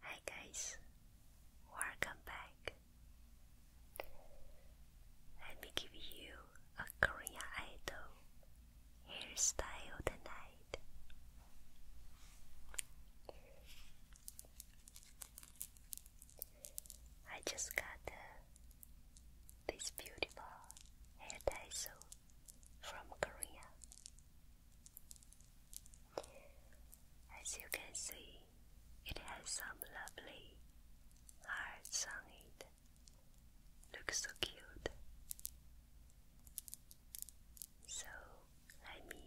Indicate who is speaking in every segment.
Speaker 1: Hi guys, welcome back. Let me give you a Korean idol hairstyle tonight. I just got this beautiful hair tassel from Korea. As you can see, it has some lovely hearts on it. Looks so cute. So let me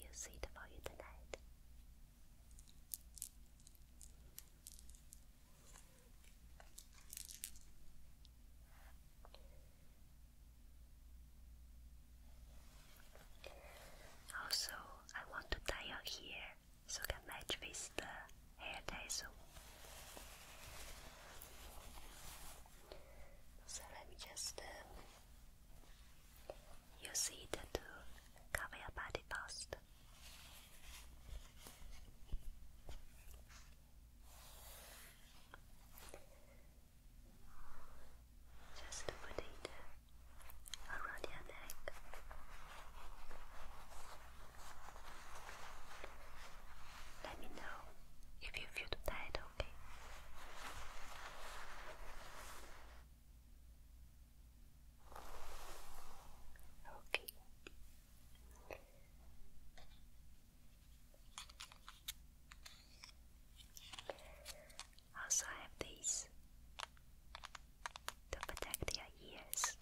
Speaker 1: use it for you tonight. Also, I want to tie up here so it can match with the hair tassel. So let me just um, uh, use it to cover your body first. Just put it around your neck. Let me know if you feel tired, okay? Okay. Also, I have these to protect your ears.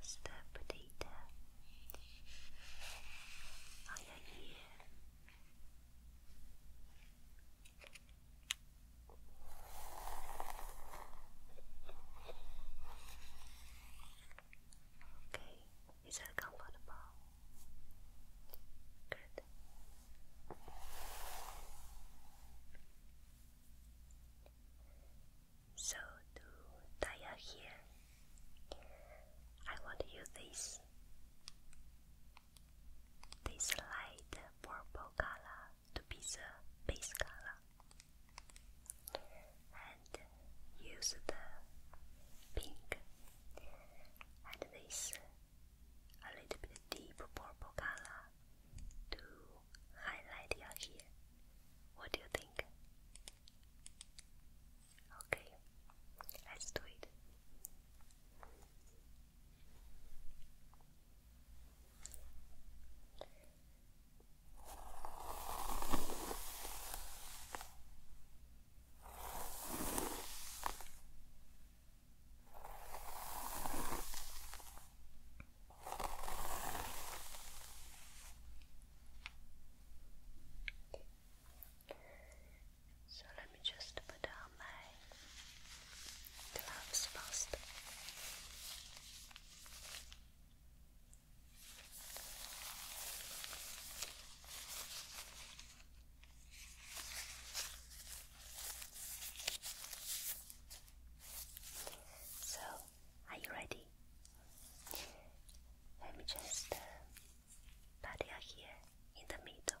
Speaker 1: Just uh, put it ear. Okay, is that comfortable? Good. So to tie I want to use this this light purple color to be the base color and use the pink and this a little bit deep purple color to highlight your hair. What do you think? Okay, let's do it. So let me just put down my gloves first. So, are you ready? Let me just uh, put it here in the middle.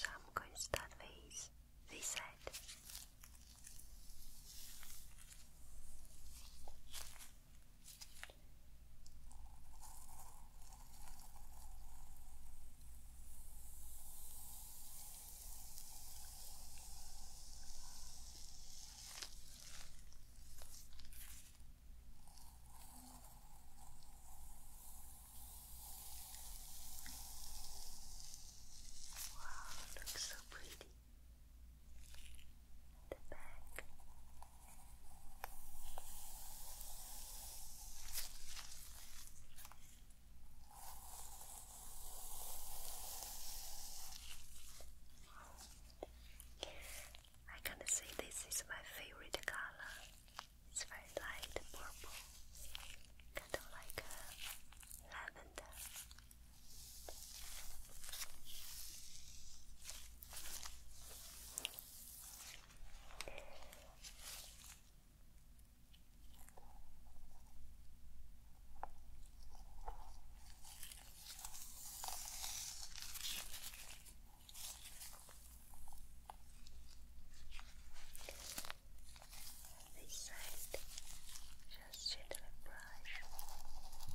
Speaker 1: So I'm going to start with this side. Wow, it looks so pretty. The back. I can say this is my favorite color. It's very light purple, kind of like a lavender. This side, just gently brush. Good.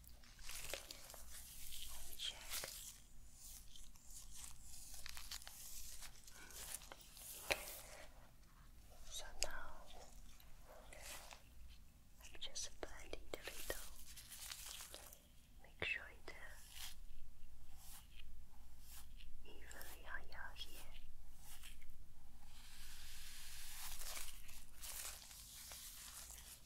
Speaker 1: Let me So now I'm just blending the little. Make sure it's evenly on your hair.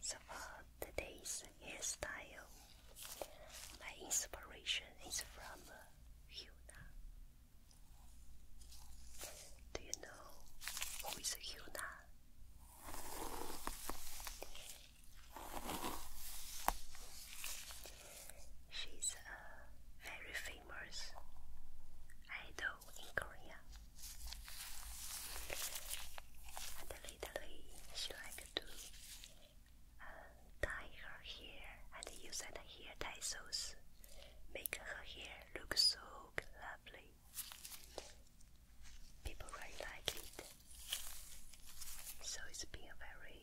Speaker 1: So for today's hairstyle, my inspiration is from uh, Hyuna. Do you know who is Hyuna? She's a uh, very famous idol in Korea. And lately, she likes to uh, her hair and use the hair tassels, make her hair look so lovely. People really like it, so it's been very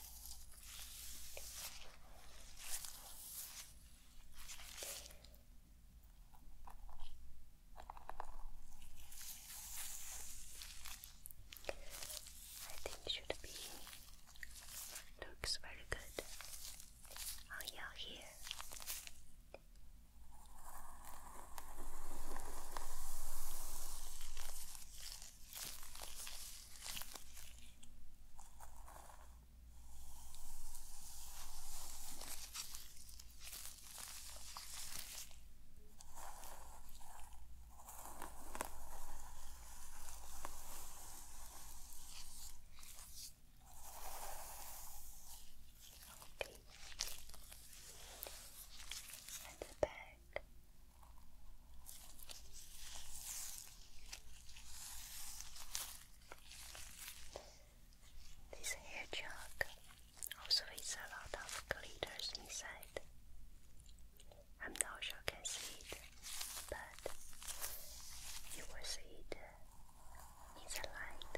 Speaker 1: I think should be looks very good on oh, your hair. Okay. And the back. This hair also has a lot of glitters inside. I'm not sure I can see it, but you will see it in the light.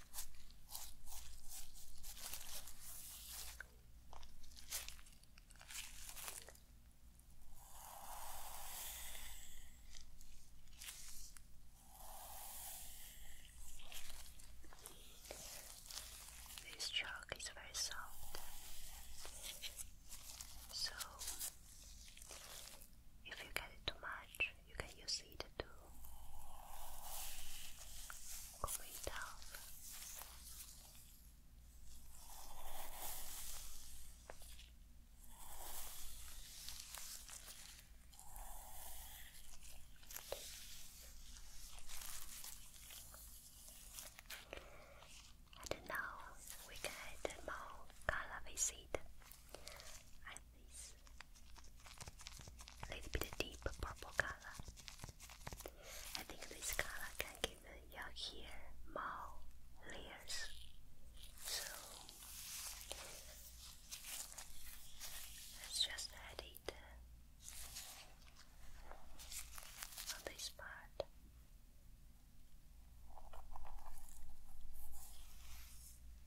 Speaker 1: This chalk is very soft, so if you get it too much, you can use it to cool it down. And now we get more color with like this a little bit of deep purple color. I think this color can give your hair more layers. So let's just add it uh, on this part.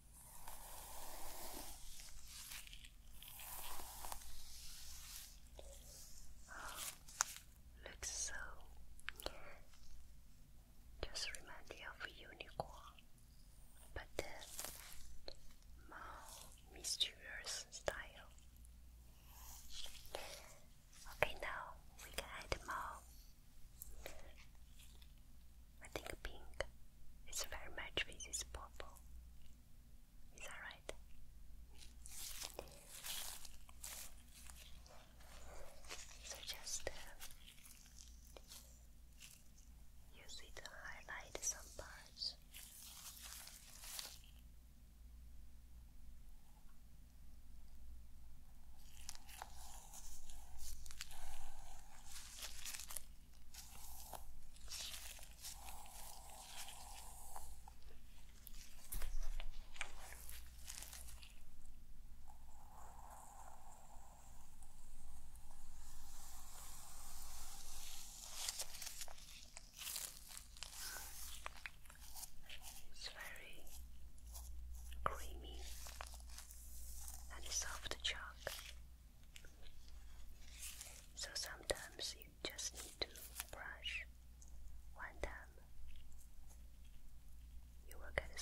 Speaker 1: Oh, looks so. Just remind me of unicorn, but more mysterious style. Okay, now we can add more I think pink is very much with this purple. Is that right? So just use it to highlight some parts. It's very creamy and soft chalk. So sometimes you just need to brush one time, you will get a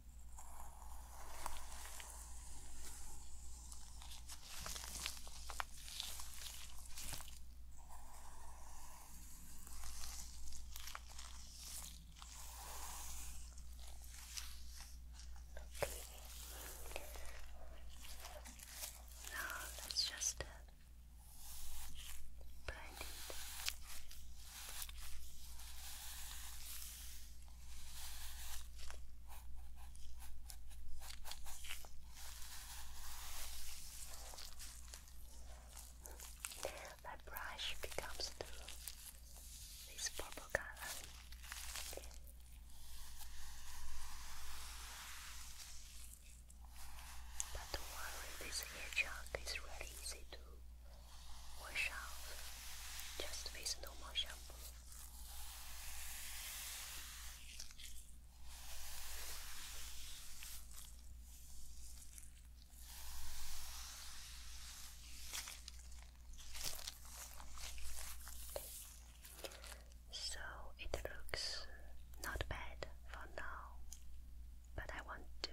Speaker 1: Now that's just a uh, blinding. The brush becomes blue, this purple color. But do this hair is really easy to wash off just with normal shampoo. So it looks not bad for now, but I want to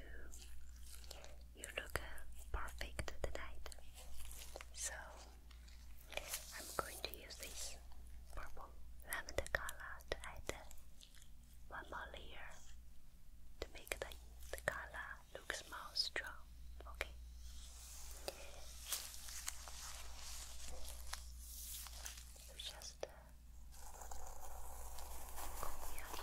Speaker 1: you look uh, perfect tonight. So I'm going to use this purple lavender color to add one more layer to make the, the color looks more strong. Okay. just uh,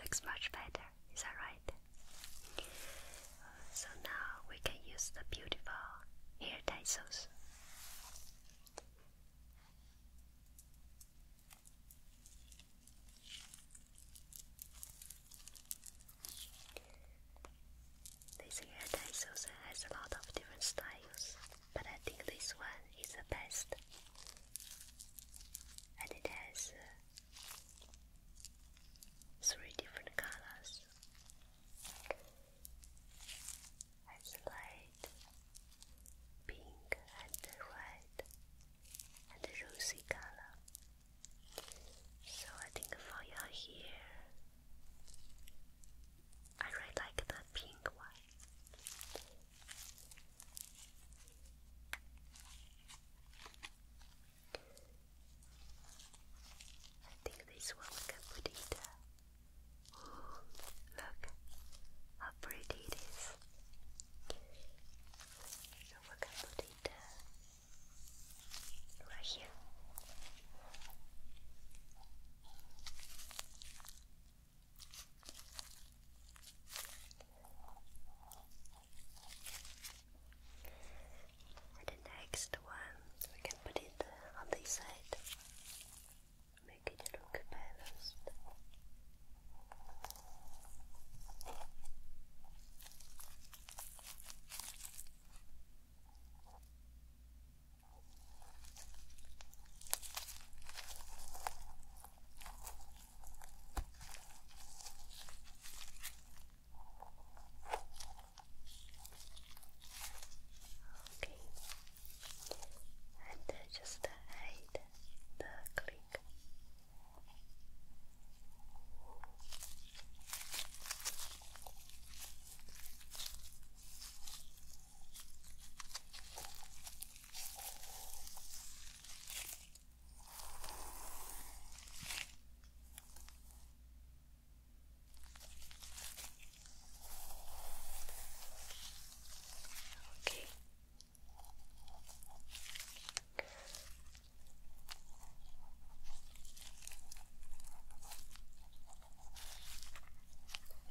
Speaker 1: Looks much better, is that right? So now we can use the beautiful hair tassels. This hair tassels has a lot of different styles, but I think this one is the best. And it has uh, three different colors. It's light, pink, and red, and rosy color. So I think for your hair, I really like the pink one. I think this one we can Oh, look how pretty it is. So we right here. And the next one, we can put it on this side, make it look balanced. Okay, and just hide the click. Okay.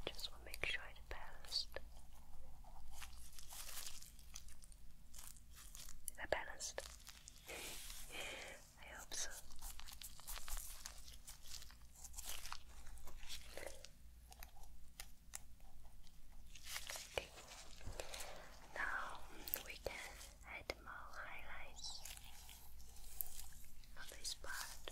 Speaker 1: Just want to make sure it's balanced. Is that balanced? I hope so. Okay. Now we can add more highlights on this part.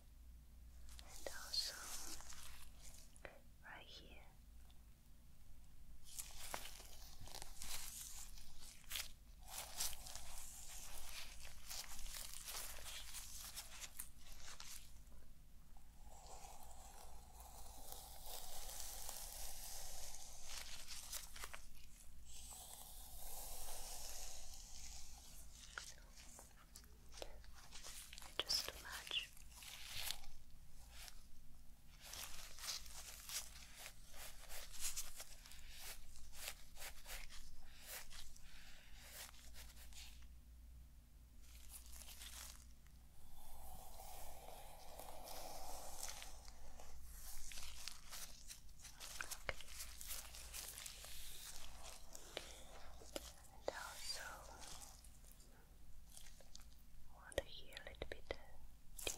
Speaker 1: and also right here. Just too much. And also, water here a little bit uh, deep.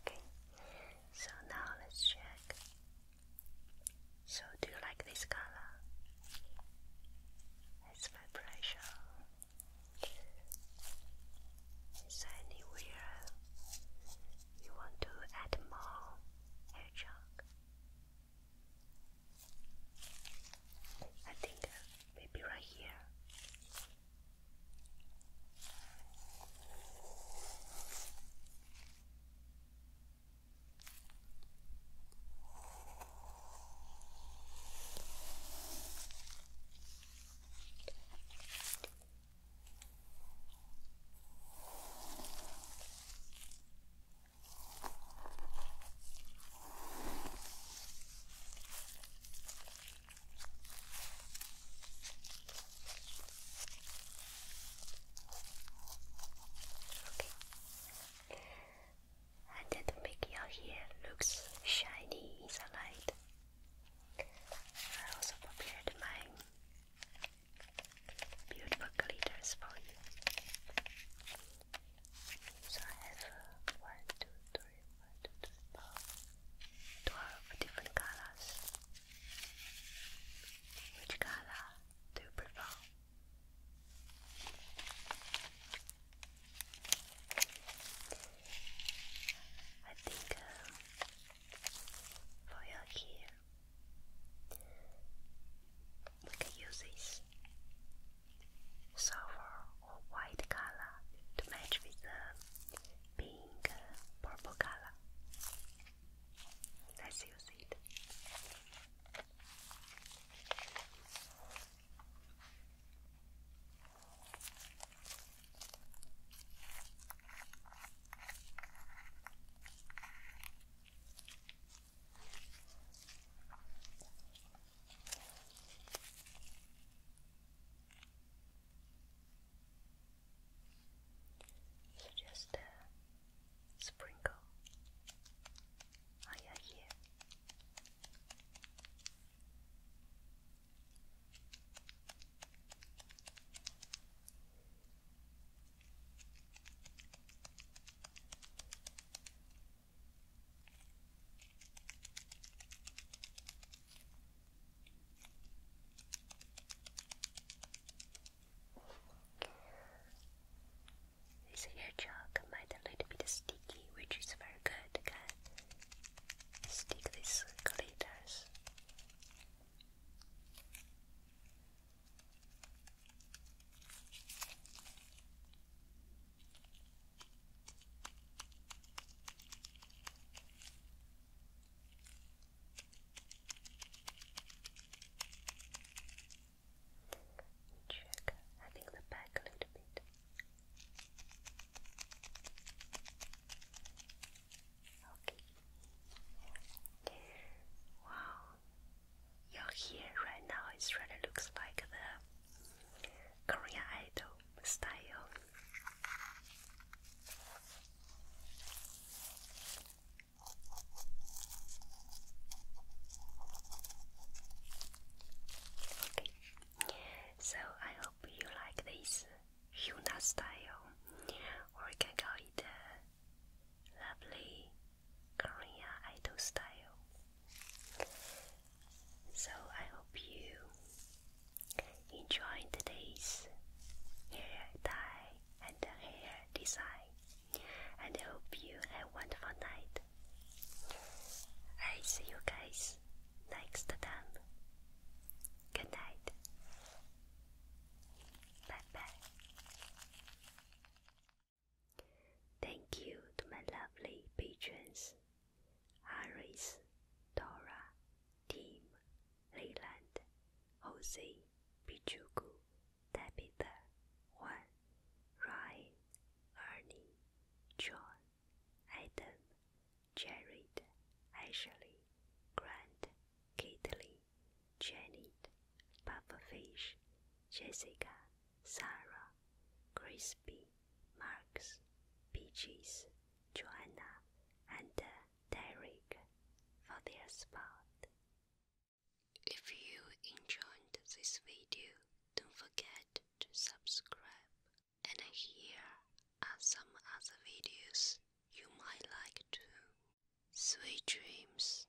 Speaker 1: Okay, so now let's check. So, do you like this color? It's my pressure. Is anywhere you want to add more hair chunk? I think uh, maybe right here. Okay. And make your hair looks shiny in the light. I also prepared my beautiful glitters for you. So I have uh, different colors. Which color do you prefer? I think uh, for your hair, we can use this silver or white color to match with the pink uh, purple color. Let's use it just uh, sprinkle higher oh, here. This hair chalk might a little bit sticky, which is very good. Can stick these glitters Check, I think the back a little bit. Okay. Wow, you're here right now is really looks like the Korean Idol style. Okay, so I hope you like this Hyuna style, or can call it lovely Korea Idol style. So I hope you enjoyed today's hair dye and hair design, and I hope you have a wonderful night. I see you guys next time. Good night. Bye bye. Thank you to my lovely patrons Iris, Dora, Tim, Leyland, Jose, Pichuku, Tabitha, Juan, Ryan, Ernie, John, Adam, Jared, Ashley, Grant, Caitlin, Jenny, Papa Fish, Jessica, Sarah, Crispy, Marks, Peaches, Joanna, and uh, Derek for their support. If you enjoyed this video, don't forget to subscribe. And here are some other videos you might like too. Sweet dreams.